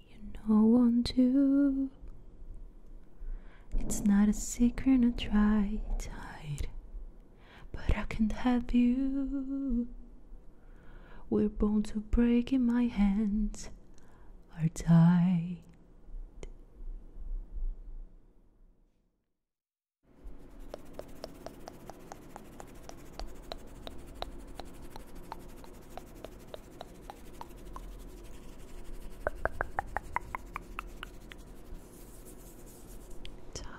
You know I one too. It's not a secret I try to hide, but I can't have you. We're born to break in my hands or die. Ciao.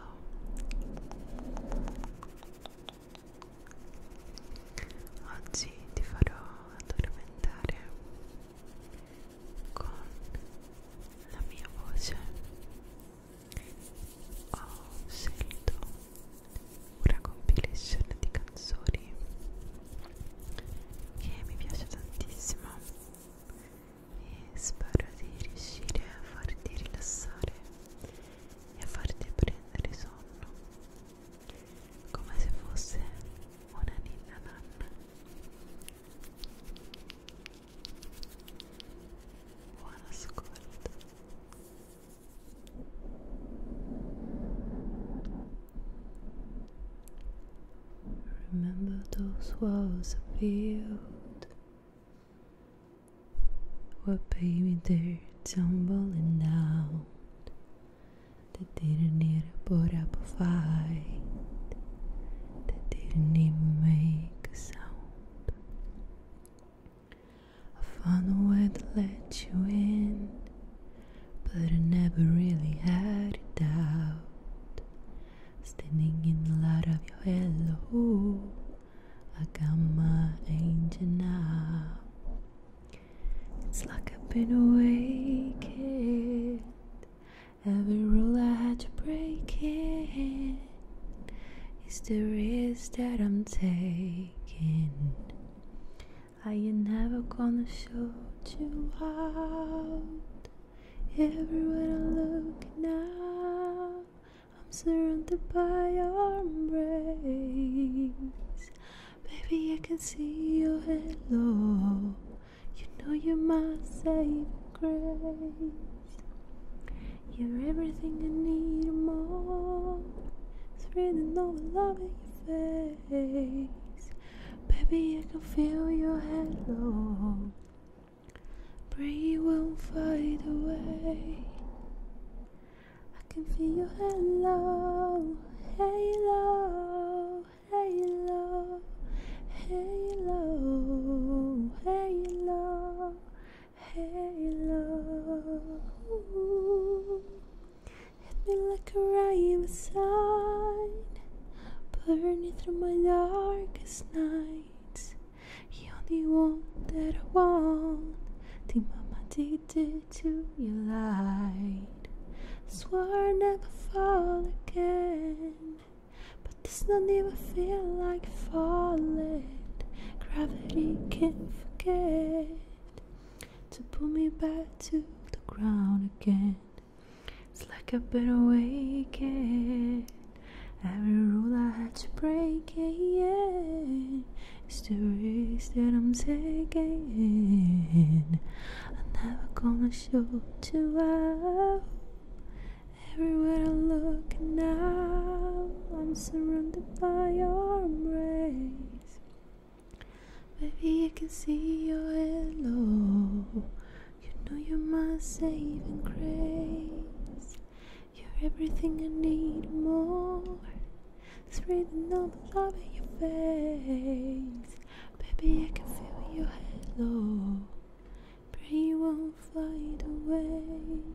Oggi ti farò addormentare con la mia voce. Ho scelto una compilation di canzoni che mi piace tantissimo e spero di riuscire a farti rilassare e a farti prendere sonno come se fosse una ninna nanna buon ascolto Remember those walls of field where baby dirt tumbling down. They didn't need put up a fight. They didn't even make a sound. I found a way to let you in, but I never really had it out. Standing in the light of your hello, I got my angel now. It's like I've been awakened. Every rule I had to break it. It's the risk that I'm taking. I ain't never gonna shut you out. Everywhere I look now, I'm surrounded by your embrace. Baby, I can see your halo. You know you're my saving grace. You're everything I need more. It's written over loving Baby, I can feel your halo. Pray it won't fade away. I can feel your halo, halo, halo, halo, halo, halo. Hit me like a rhyme sign, burning through my darkest nights. You're the one that I want. The mama did it to you light. Swore I'd never fall again, but this don't even feel like falling. Gravity can't forget to pull me back to the ground again. It's like I've been awakened. Every rule I had to break, yeah, It's the risk that I'm taking. I never gonna show too out. Everywhere I look now, I'm surrounded by your embrace. Baby, I can see your halo. You know you're my saving grace. You're everything I need more. It's written all the love in your face. Baby, I can feel your halo. Pray you won't fly away.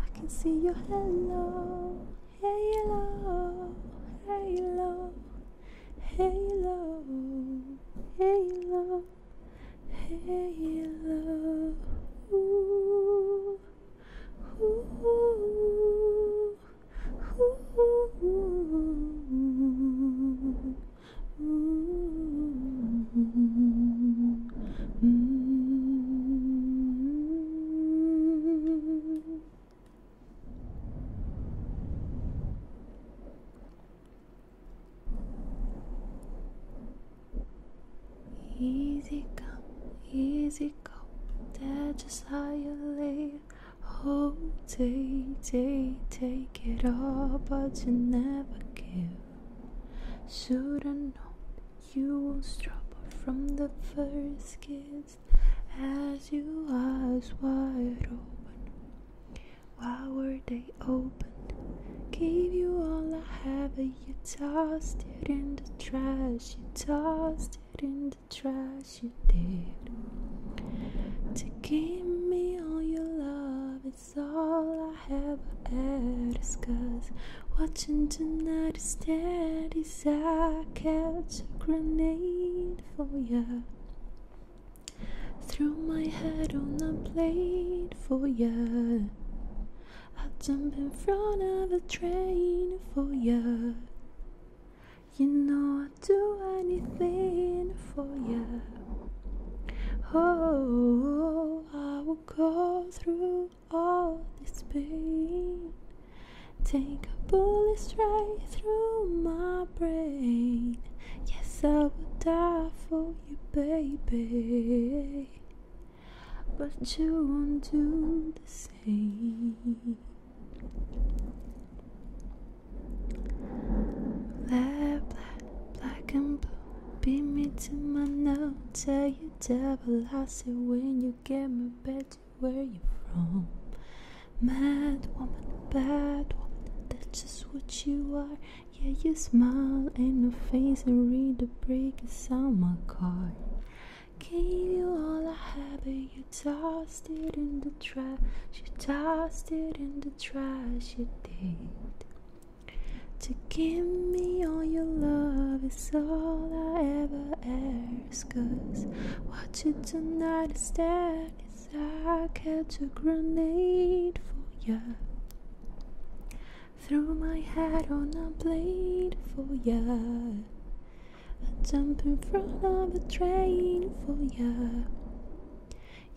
I can see you. Hello, hello, hello, hello, hello, hello. Ooh, ooh, ooh, Mm -hmm. Easy come, easy go. That's just how you live. hold, take, take, take it all, but you never give. Should've known you will not struggle from the first kiss as you eyes wide open. Why were they opened? Gave you all I have, and you tossed it in the trash. You tossed it in the trash, you did. To give me all your love, it's all I have. Ask us Watching tonight instead is I catch a grenade for ya. Threw my head on a plate for ya. I jump in front of a train for ya. You know I'd do anything for ya. Oh, I will go through through all this pain. Take a bullet straight through my brain. Yes, I would die for you, baby. But you won't do the same. Black, black, black and blue. Beat me to my note. Tell you double. I say when you get my back where you from. Mad woman, bad woman, that's just what you are. Yeah, you smile in the face and read the break on my car. Gave you all I had, but you tossed it in the trash. You tossed it in the trash, you did. To give me all your love is all I ever asked tears Cause watching tonight is dead As I catch a grenade for ya throw my hat on a blade for ya I jump in front of a train for ya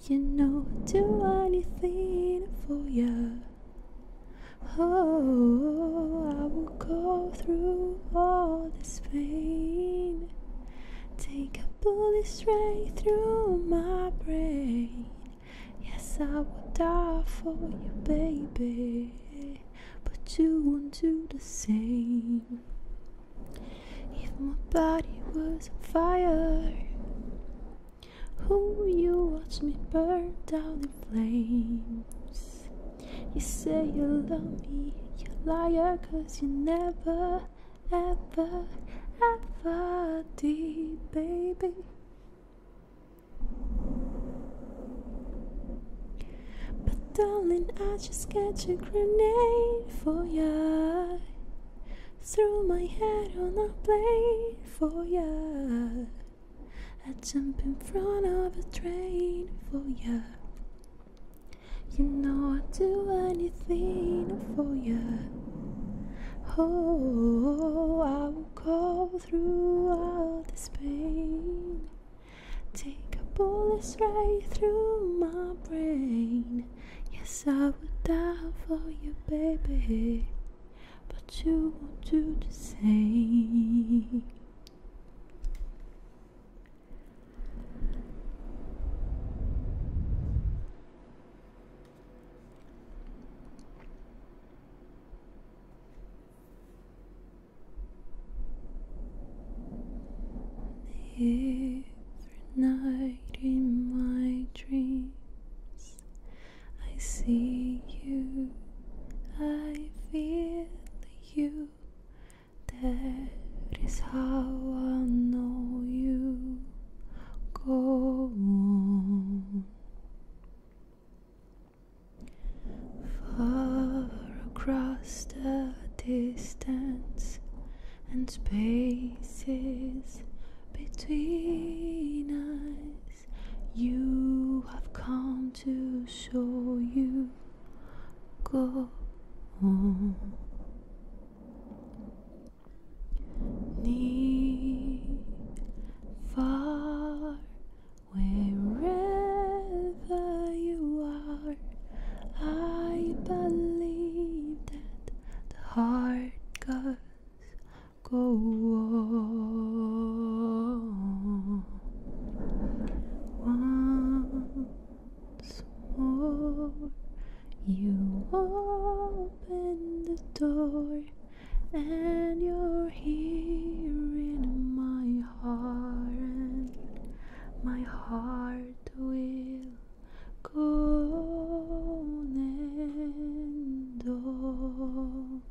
You know I'd do anything for ya Oh, I will go through all this pain. Take a bullet straight through my brain. Yes, I would die for you, baby, but you won't do the same. If my body was on fire, who you watch me burn down in flames? You say you love me, you liar, cause you never, ever, ever did, baby. But darling, I just catch a grenade for ya. Threw my head on a plate for ya. I jump in front of a train for ya. You know I'd do anything for you. Oh, I would go through all this pain. Take a bullet straight through my brain. Yes, I would die for you, baby. But you won't do the same. Every night in my dreams, I see you, I feel you, that is how I know you go on. Far across the distance and spaces between us, you have come to show you go near, far, wherever you are. I believe that the heart goes go on. Once more, you open the door, and you're here in my heart, and my heart will go and all.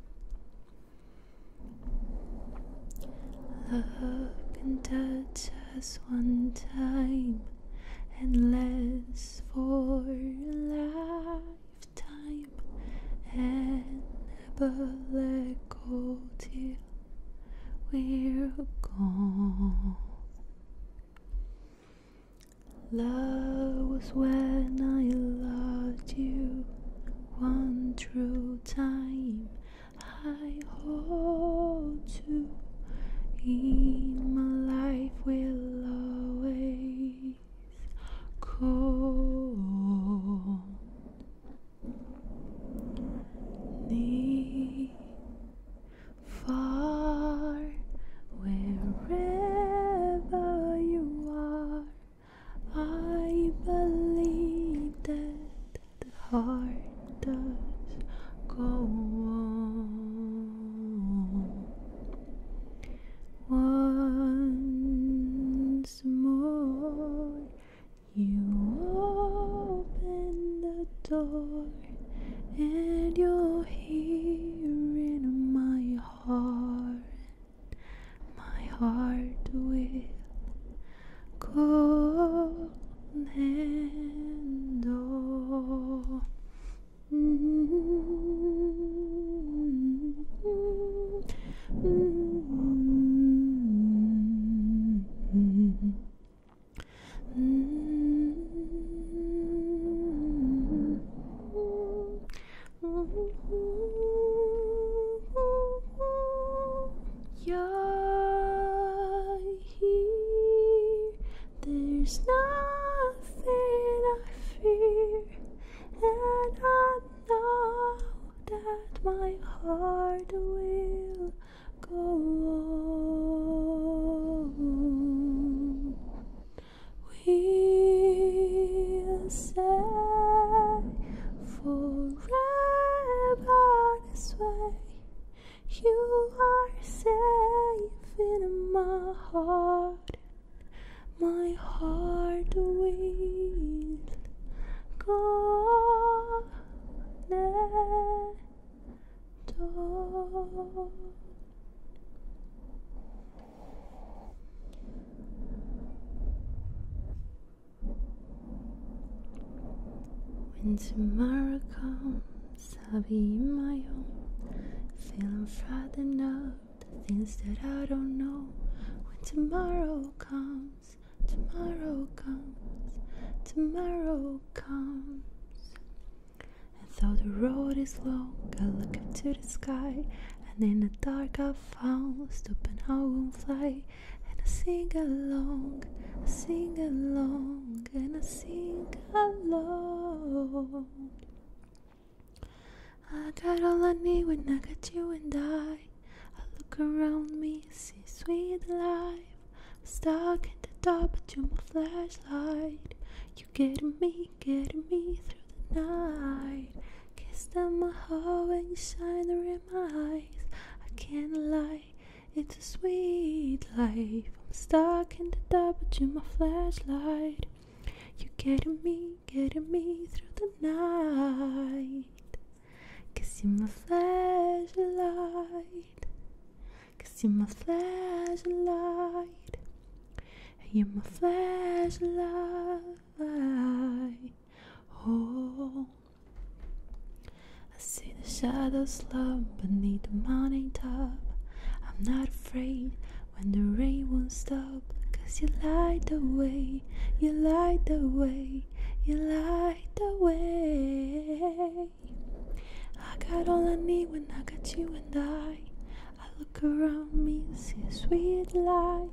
Look and touch us one time, and less for a lifetime, and never let go till we're gone. Love was when I loved you one true time I hold to in my life will always call. Near, far, wherever you are, I believe that the heart does go on once more you open the door and you're here in my heart my heart will cold and you're here. There's nothing I fear, and I know that my heart will go on. We'll say forever this way. You are safe in my heart. My heart will go on. When tomorrow comes, I'll be in my own, feeling frightened of the things that I don't know. When tomorrow comes, tomorrow comes, tomorrow comes. And though the road is long, I look up to the sky, and in the dark I found, stupid, I won't fly and I sing along, I sing along, and I sing along. I got all I need when I got you and I. I look around me, see sweet life. stuck in the dark, but you're my flashlight. You get me, get me through the night. Kiss down my heart when you shine in my eyes. I can't lie. It's a sweet life. I'm stuck in the dark, but you're my flashlight. You're getting me, getting me through the night. Cause you're my flashlight. Cause you're my flashlight. And you're my flashlight. Oh. I see the shadows slump beneath the mountain top. I'm not afraid when the rain won't stop. Cause you light the way, you light the way, you light the way. I got all I need when I got you and I. I look around me, and see a sweet light.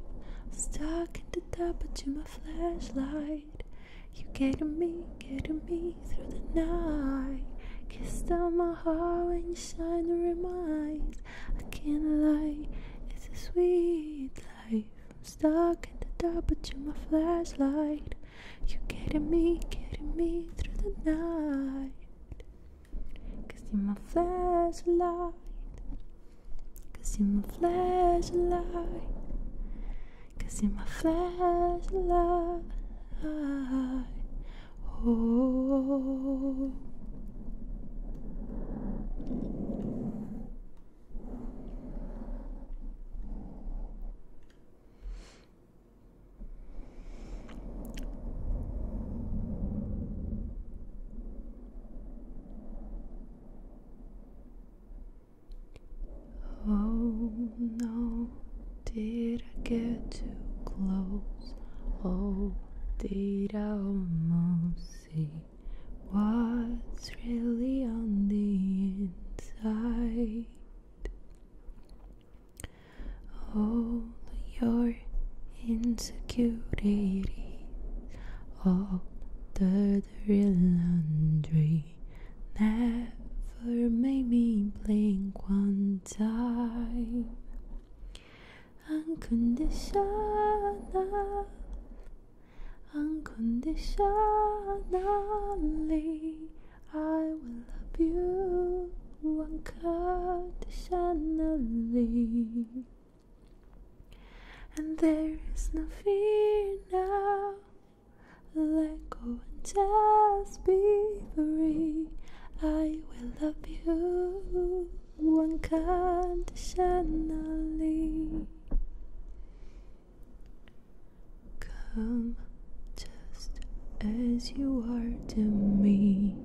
stuck in the dark, but you my flashlight. You're getting me, getting me through the night. Kissed on my heart when you shine to remind. I can't lie, it's a sweet life. stuck in the dark, but you're my flashlight. You are getting me, getting me through the night. Cause you're my flashlight. Cause you're my flashlight. Cause in my flashlight, oh. Oh no, did I get too close? Oh, did I almost see what's really on the inside? All your insecurities, all the dirty laundry never made me blink one time. Unconditional, unconditionally, I will love you unconditionally. And there is no fear now. Let go and just be free. I will love you unconditionally. Come just as you are to me.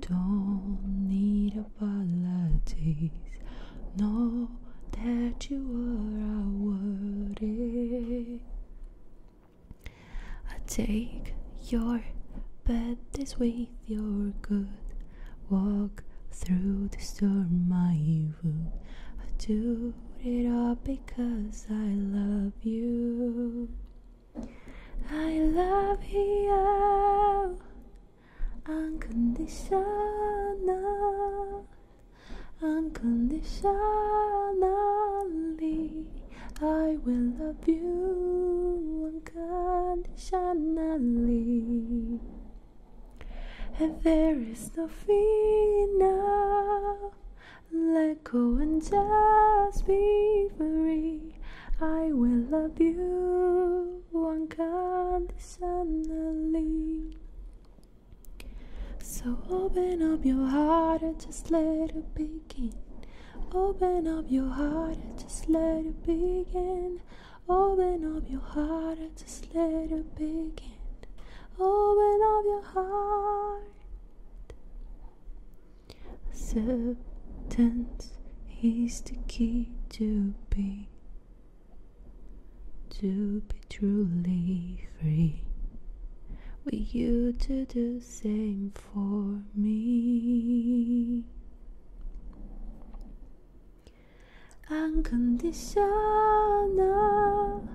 Don't need apologies. No that you are, I would I take your bad this with your good walk through the storm, I wound. I do it all because I love you. I love you unconditional. Unconditionally, I will love you unconditionally. And there is no fear Let go and just be free. I will love you unconditionally. So open up your heart and just let it begin. Open up your heart and just let it begin. Open up your heart and just let it begin. Open up your heart. Acceptance is the key to be to be truly free. With you to do same for me. Unconditional,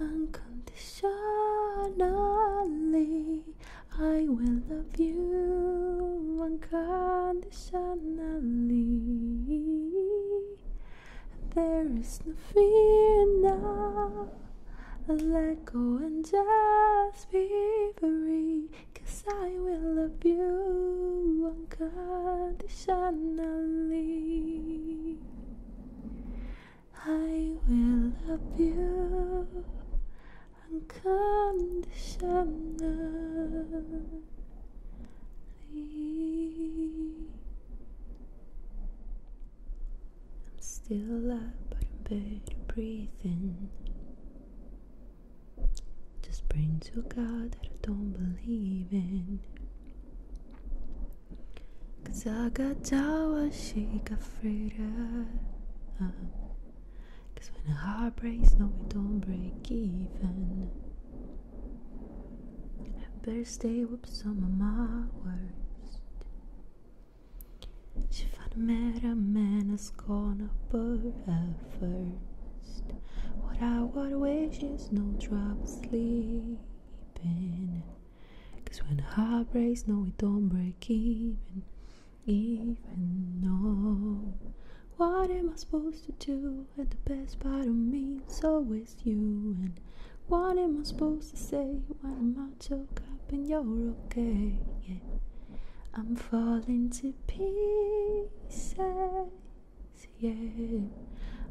unconditionally, I will love you unconditionally. There is no fear now. Let go and just be free. Cause I will love you unconditionally. I will love you unconditionally. I'm still alive, but I'm better breathing. Just praying to God that I don't believe in. Cause I got down, she got freedom. Cause when a heart breaks, no, we don't break even. I better stay with some of my worst. She found met a man that's gonna put at first. What I would wish is no trouble sleeping. Cause when heart breaks, no, it don't break even. Even though what am I supposed to do at the best part of me? So it you and what am I supposed to say when I'm all choked up and you're okay? Yeah. I'm falling to pieces, yeah.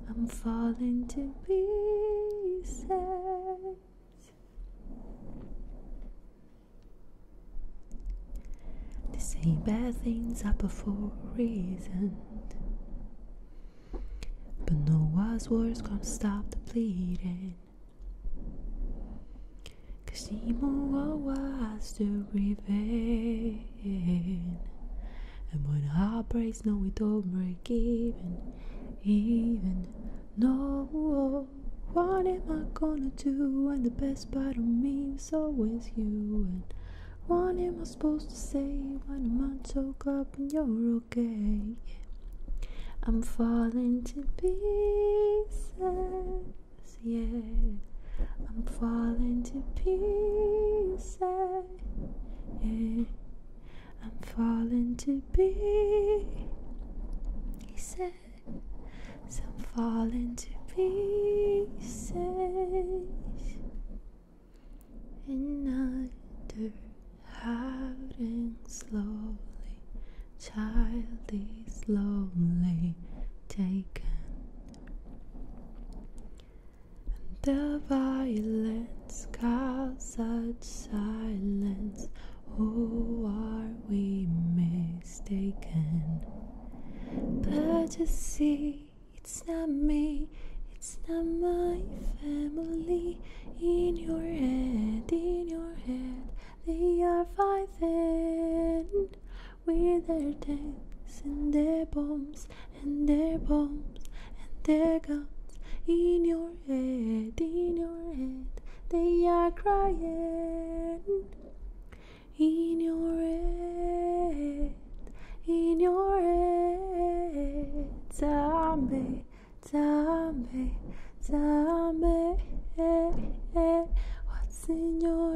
I'm falling to pieces. The say bad things are for a reason. But no wise words gonna stop the bleeding. Cause Nemo was still grieving. And when heart breaks, no, we don't break even. Even, no, what am I gonna do? when the best part of me was always you. And what am I supposed to say when I'm so glad? and you're okay. I'm falling to pieces, yeah. I'm falling to pieces, yeah. I'm falling to pieces. I'm falling to pieces. Another hiding slowly, child is slowly taken, and the violence caused silence. Who are we mistaken? But to see, it's not me. It's not my family. In your head, in your head, they are fighting with their tanks and their bombs and their bombs and their guns. In your head, in your head, they are crying. In your head, in your head, zombie me, tell me, tell eh, me eh. what's in your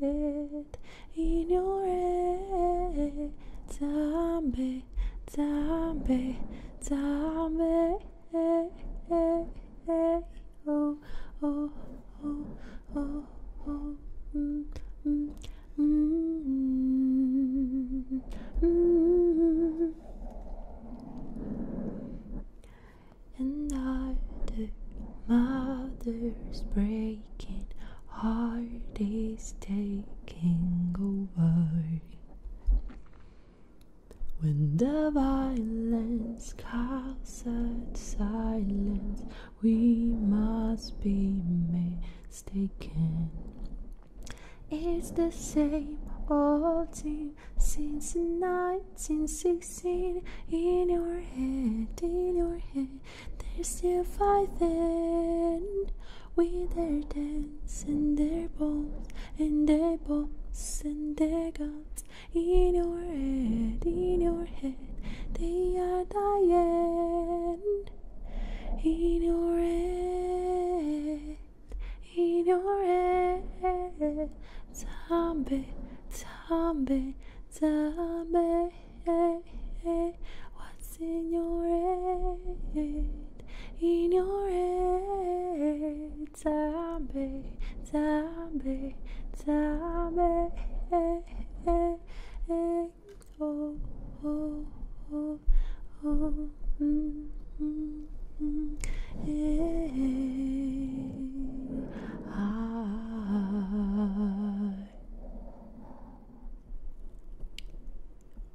head, in your head. Tell me, tell me, tell me. Oh, oh, oh, oh, oh, mm, mm. Mm-hmm. Mm-hmm. And -hmm. And mothers breaking, heart is taking over. When the violence calls at silence, we must be mistaken. It's the same old team since 1916. In your head, in your head, they're still fighting with their dance and their balls and their balls and their guns. In your head, in your head, they are dying in your head, in your head. Zombie, zombie, zombie. What's in your head? In your head, zombie, zombie, zombie way. Oh, oh, oh, oh. Mm, mm, mm. Hey, I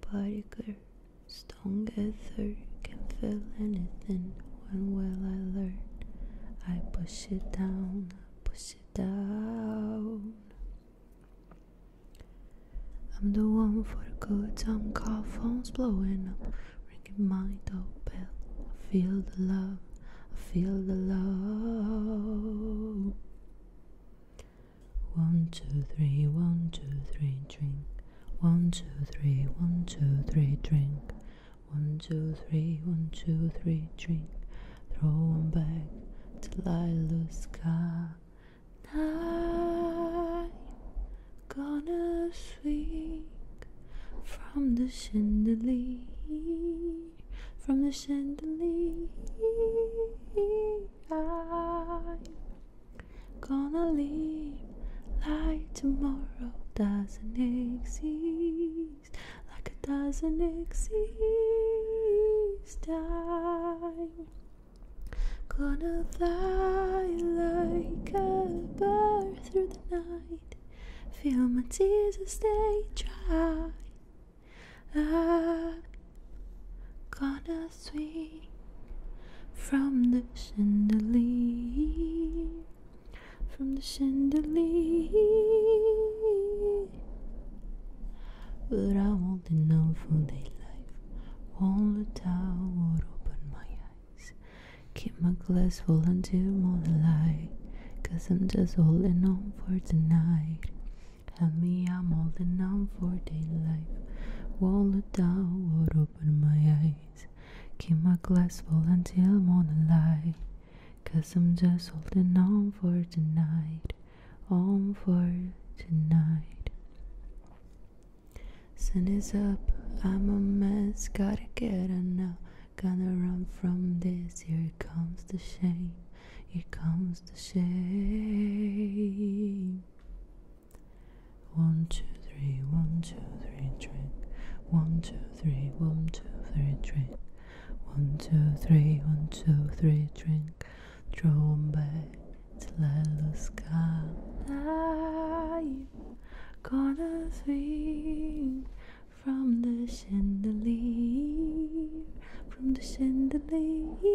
Particle strong ether can feel anything. When will I learn? I push it down, I push it down. I'm the one for good time call phones blowing up, ringing my doorbell. I feel the love, I feel the love. One, two, three, one, two, three, drink. One, two, three, one, two, three, drink. One, two, three, one, two, three, drink. Throw 'em back till I lose count night. Gonna swing from the chandelier, from the chandelier. I'm gonna leave like tomorrow doesn't exist, like it doesn't exist. Time Gonna fly like a bird through the night. Feel my tears as they dry. I'm ah, gonna swing from the chandelier, from the chandelier. But I won't enough for daylight. All the time would open my eyes. Keep my glass full until morning light. Cause I'm just holding on for tonight. Help me, I'm holding on for daylight. All the time would open my eyes. Keep my glass full until morning light. Cause I'm just holding on for tonight on for tonight. Sun is up, I'm a mess, gotta get out now. Gonna run from this, here comes the shame, here comes the shame. One, two, three, one, two, three, drink. One, two, three, one, two, three, drink. One, two, three, one, two, three, drink. Trombe tlelo scalayo Gonna swing from the chandelier From the chandelier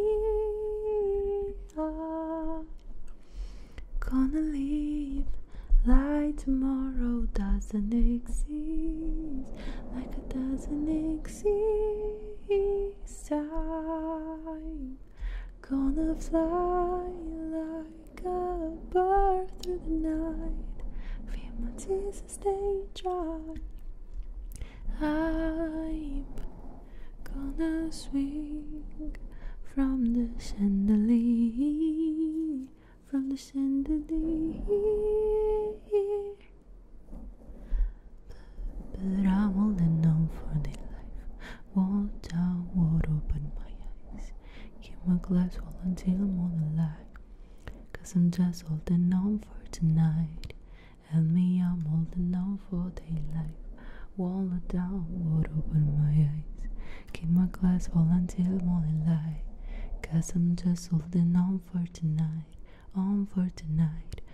oh. Gonna live like tomorrow doesn't exist Like it doesn't exist I Gonna fly like a bird through the night. Feel my tears they dry. I'm gonna swing from the chandelier, from the chandelier. But I'm holding on for the life. down, won't open my eyes. Keep my glass full until I'm on the light. Cause I'm just holding on for tonight. And me, I'm holding on for the life. daylight. Wall down, won't open my eyes. Keep my glass full until morning light. Cause I'm just holding on for tonight, on for tonight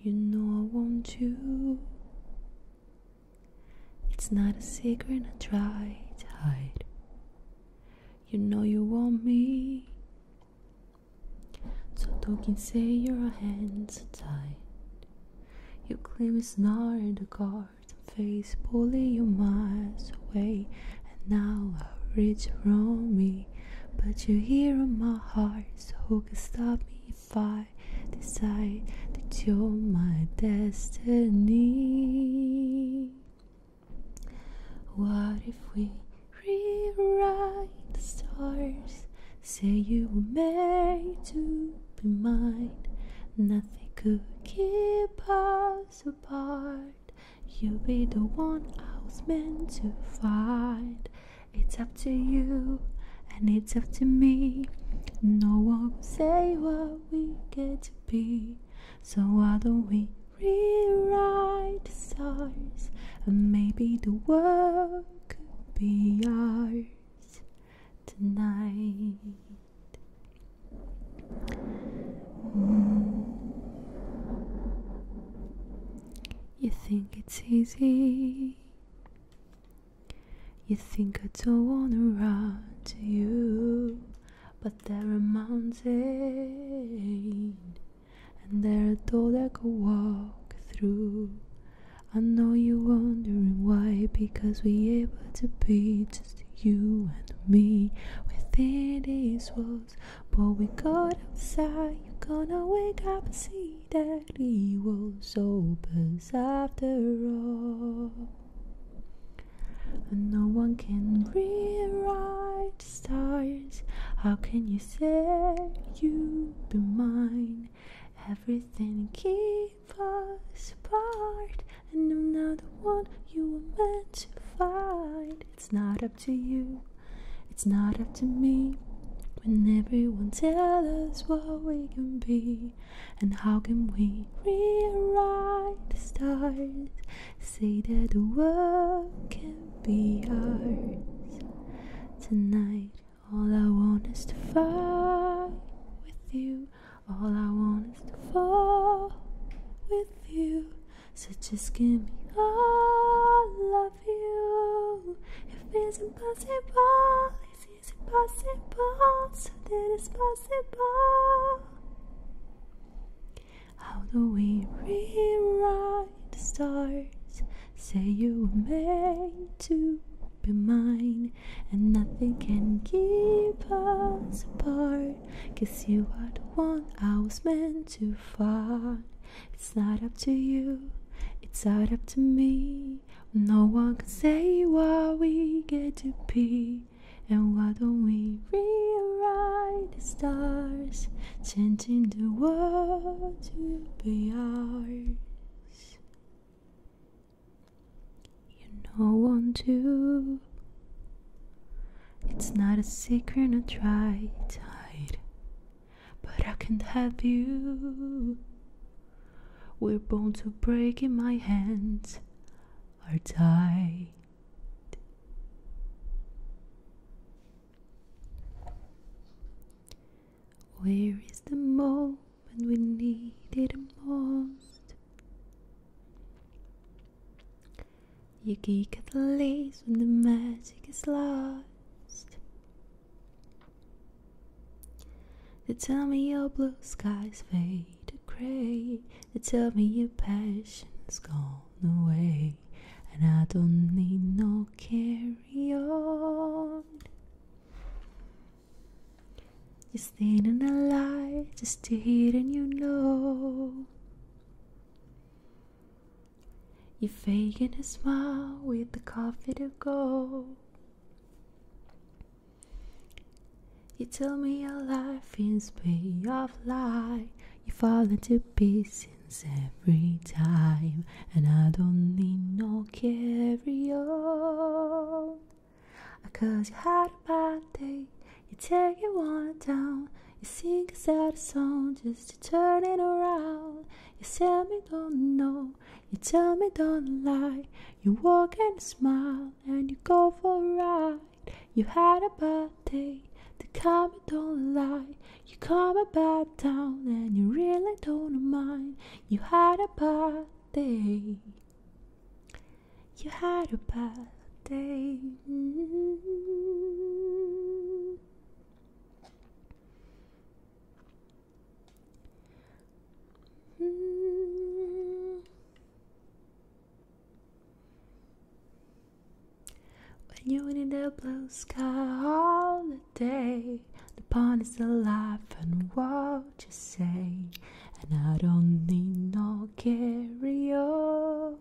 You know I want you it's not a secret I try to hide. You know you want me. So don't say your hands are tied. You claim it's not in the cards. Face pulling you miles away, and now I reach from me. But you're here in my heart, so who can stop me if I decide that you're my destiny. What if we rewrite the stars? Say you were made to be mine. Nothing could keep us apart. You'll be the one I was meant to find. It's up to you, and it's up to me. No one will say what we get to be. So why don't we rewrite the stars? And maybe the world could be ours tonight. Mm. You think it's easy. You think I don't wanna run to you but they're a mountain, and they're a door that could walk through. I know you're wondering why, because we're able to be just you and me within these walls. But we go outside, you're gonna wake up and see that he was opens after all. And no one can rewrite the stars. How can you say you will be mine? Everything keeps us apart, and I'm not the one you were meant to find. It's not up to you, it's not up to me. When everyone tells us what we can be, and how can we rewrite the stars? Say that the world can be ours. Tonight, all I want is to fight with you. All I want is to fall with you. So just give me all of you. If it's impossible, it's impossible. So that it's possible. How do we rewrite the stars? Say you were meant to be mine, and nothing can keep us apart. Cause you are the one I was meant to find. It's not up to you, it's not up to me. No one can say what we get to be. And why don't we rewrite the stars, changing the world to be ours? You know, I want to. It's not a secret I try to hide, but I can't have you. We're born to break in my hands are tight. Where is the moment we need it most? You geek at the lace when the magic is lost. They tell me your blue skies fade to They tell me your passion's gone away, and I don't need no carry on. Just standing alive, just to hidden, you know. You're faking a smile with the coffee to go. You tell me your life is made of lie. You fall into pieces every time, and I don't need no carry on. Cause you had a bad day, you take it one down. You sing a sad song just to turn it around. You tell me don't know, you tell me don't lie. You walk and smile and you go for a ride. You had a bad day, the comment don't lie. You come about town and you really don't mind. You had a bad day. You had a bad day. When you're in the blue sky all the day, the pond is alive and what you say, and I don't need no carry on.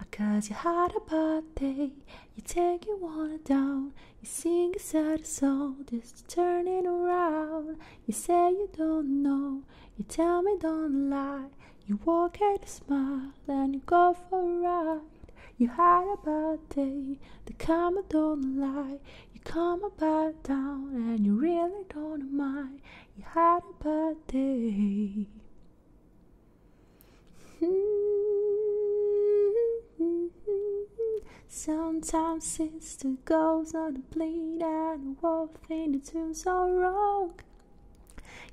Ah, Cause you had a bad day, you take your water down, you sing a sad song, just turning around. You say you don't know, you tell me don't lie. You walk and you smile, and you go for a ride. You hide bad day, the karma don't lie. You come about down, and you really don't mind. You hide bad day. Sometimes it's the on the plane and the something that turns out wrong.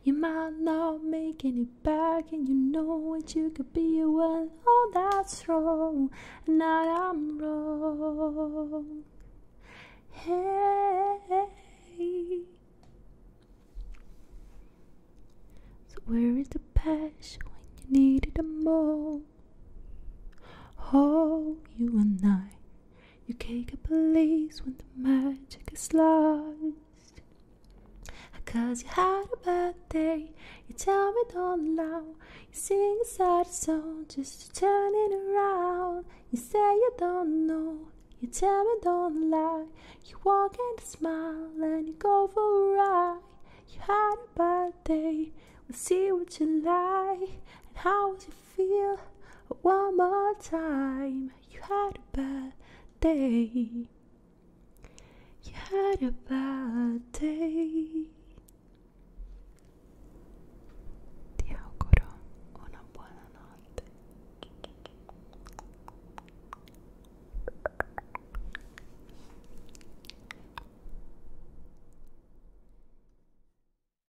You might not make it back, and you know what you could be. Well, all that's wrong, and now I'm wrong. Hey, so where is the passion when you need it the most? Oh, you and I you can't get police when the magic is lost. Cause you had a bad day, you tell me don't lie. You sing a sad song just to turn it around. You say you don't know, you tell me don't lie. You walk and smile and you go for a ride. You had a bad day, we'll see what you like. And how you. your feel one more time you had a bad day. You had a bad day. Ti auguro una buona notte.